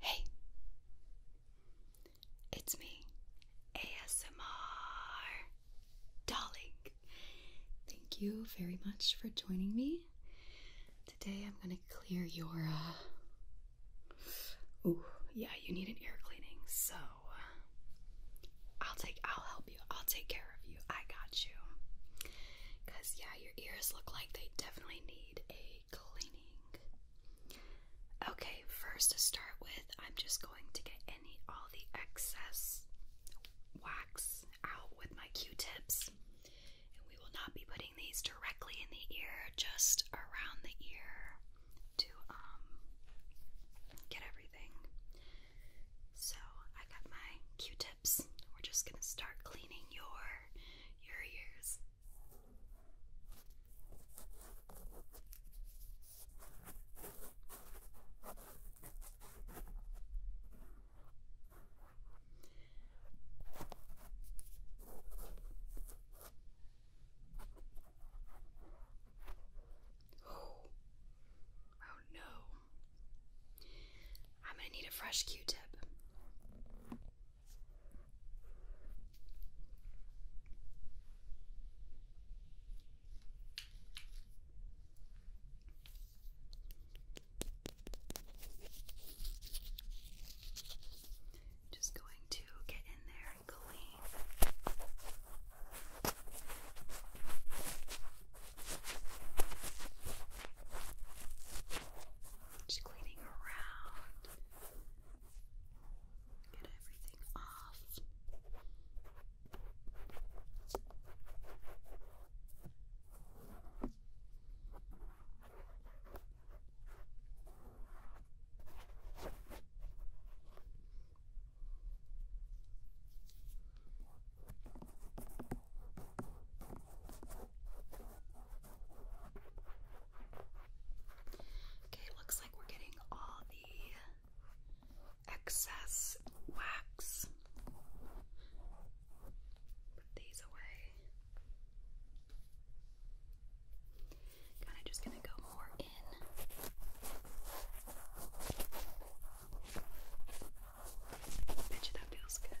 Hey, it's me, ASMR Darling. Thank you very much for joining me. Today I'm gonna clear your. Uh... Ooh, yeah, you need an ear cleaning, so uh, I'll take. I'll help you. I'll take care of you. I got you. Cause yeah, your ears look like they definitely need a cleaning. Okay, first to start with, I'm just going to get any all the excess wax out with my Q-tips. And we will not be putting these directly in the ear, just around the ear to um, get everything. So I got my Q-tips. We're just gonna start cleaning your your ears. Oh, no. I'm going to need a fresh Q tip. Just going to get in there and just cleaning around. Get everything off. Okay, looks like we're getting all the excess wax. Put these away. Kind of just gonna go more in. I bet you that feels good.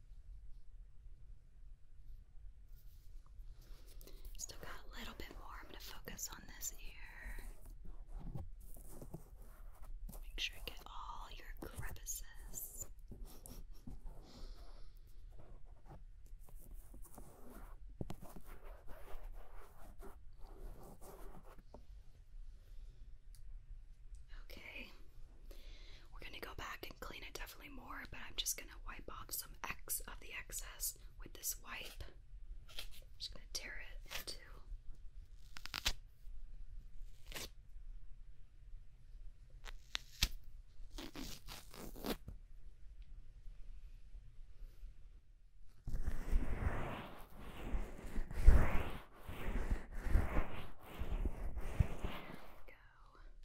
Still got a little bit more. I'm going to focus on this ear. Make sure you get all your crevices. Okay, we're going to go back and clean it definitely more, but I'm just going to wipe off some X of the excess with this wipe. just going to tear it into. There we go.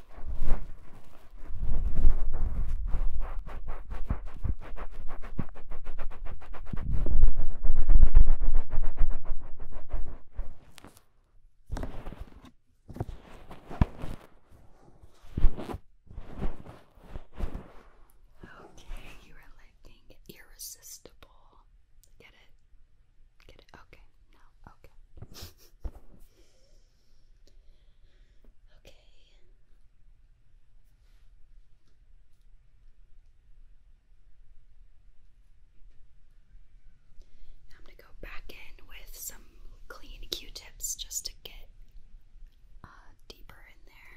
Okay, you are looking irresistible. Get it? Get it? Okay, no, okay. Okay. I'm going to go back in with some clean Q-tips just to get uh, deeper in there.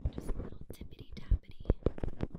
Just a little tippity tappity. Just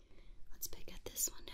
Let's pick at this one now.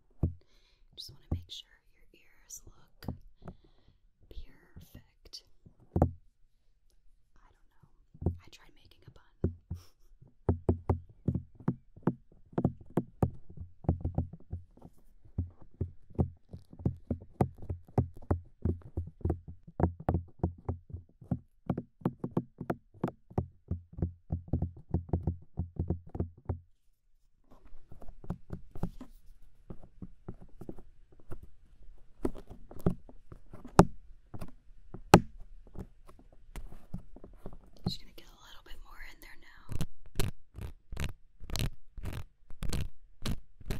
Just want to make sure your ears look perfect. I don't know. I tried making a bun. Just going to get a little bit more in there now. Okay,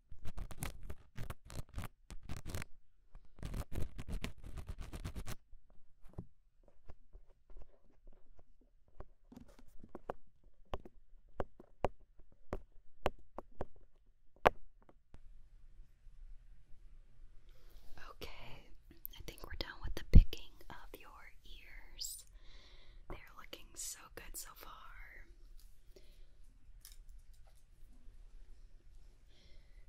Okay, I think we're done with the picking of your ears. They're looking so good so far.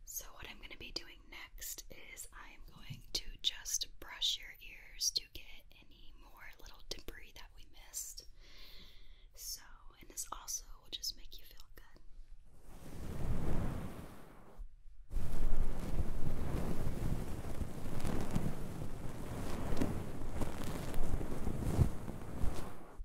So, what I'm going to be doing next is I'm going to just brush your ears to get any more little debris that we missed. So, and this also will just make you feel good.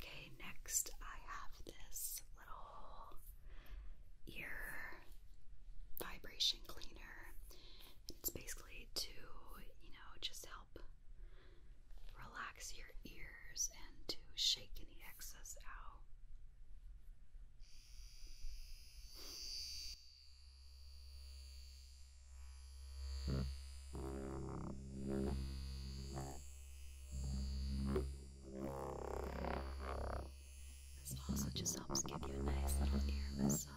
Okay, next I have this little ear vibration cleaner. It's basically to, you know, just help relax your ears and to shake any excess out. This also just helps give you a nice little ear massage.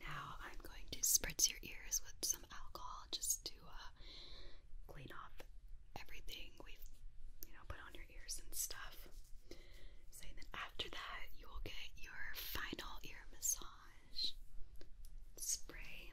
Now I'm going to spritz your ears with some alcohol just to uh, clean off everything we've, you know, put on your ears and stuff. So then after that, you will get your final ear massage spray.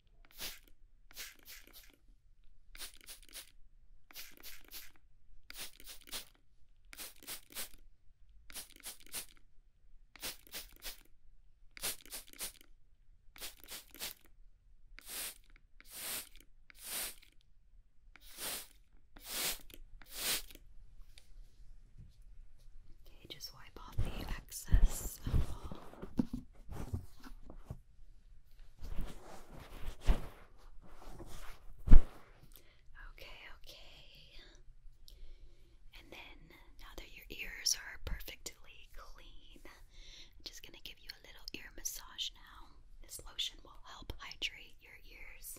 Okay, just wipe off the excess of all Okay, okay. And then now that your ears are perfectly clean, I'm just going to give you a little ear massage now. This lotion will help hydrate your ears.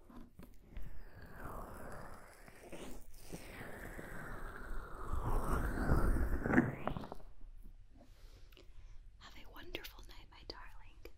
Have a wonderful night, my darling.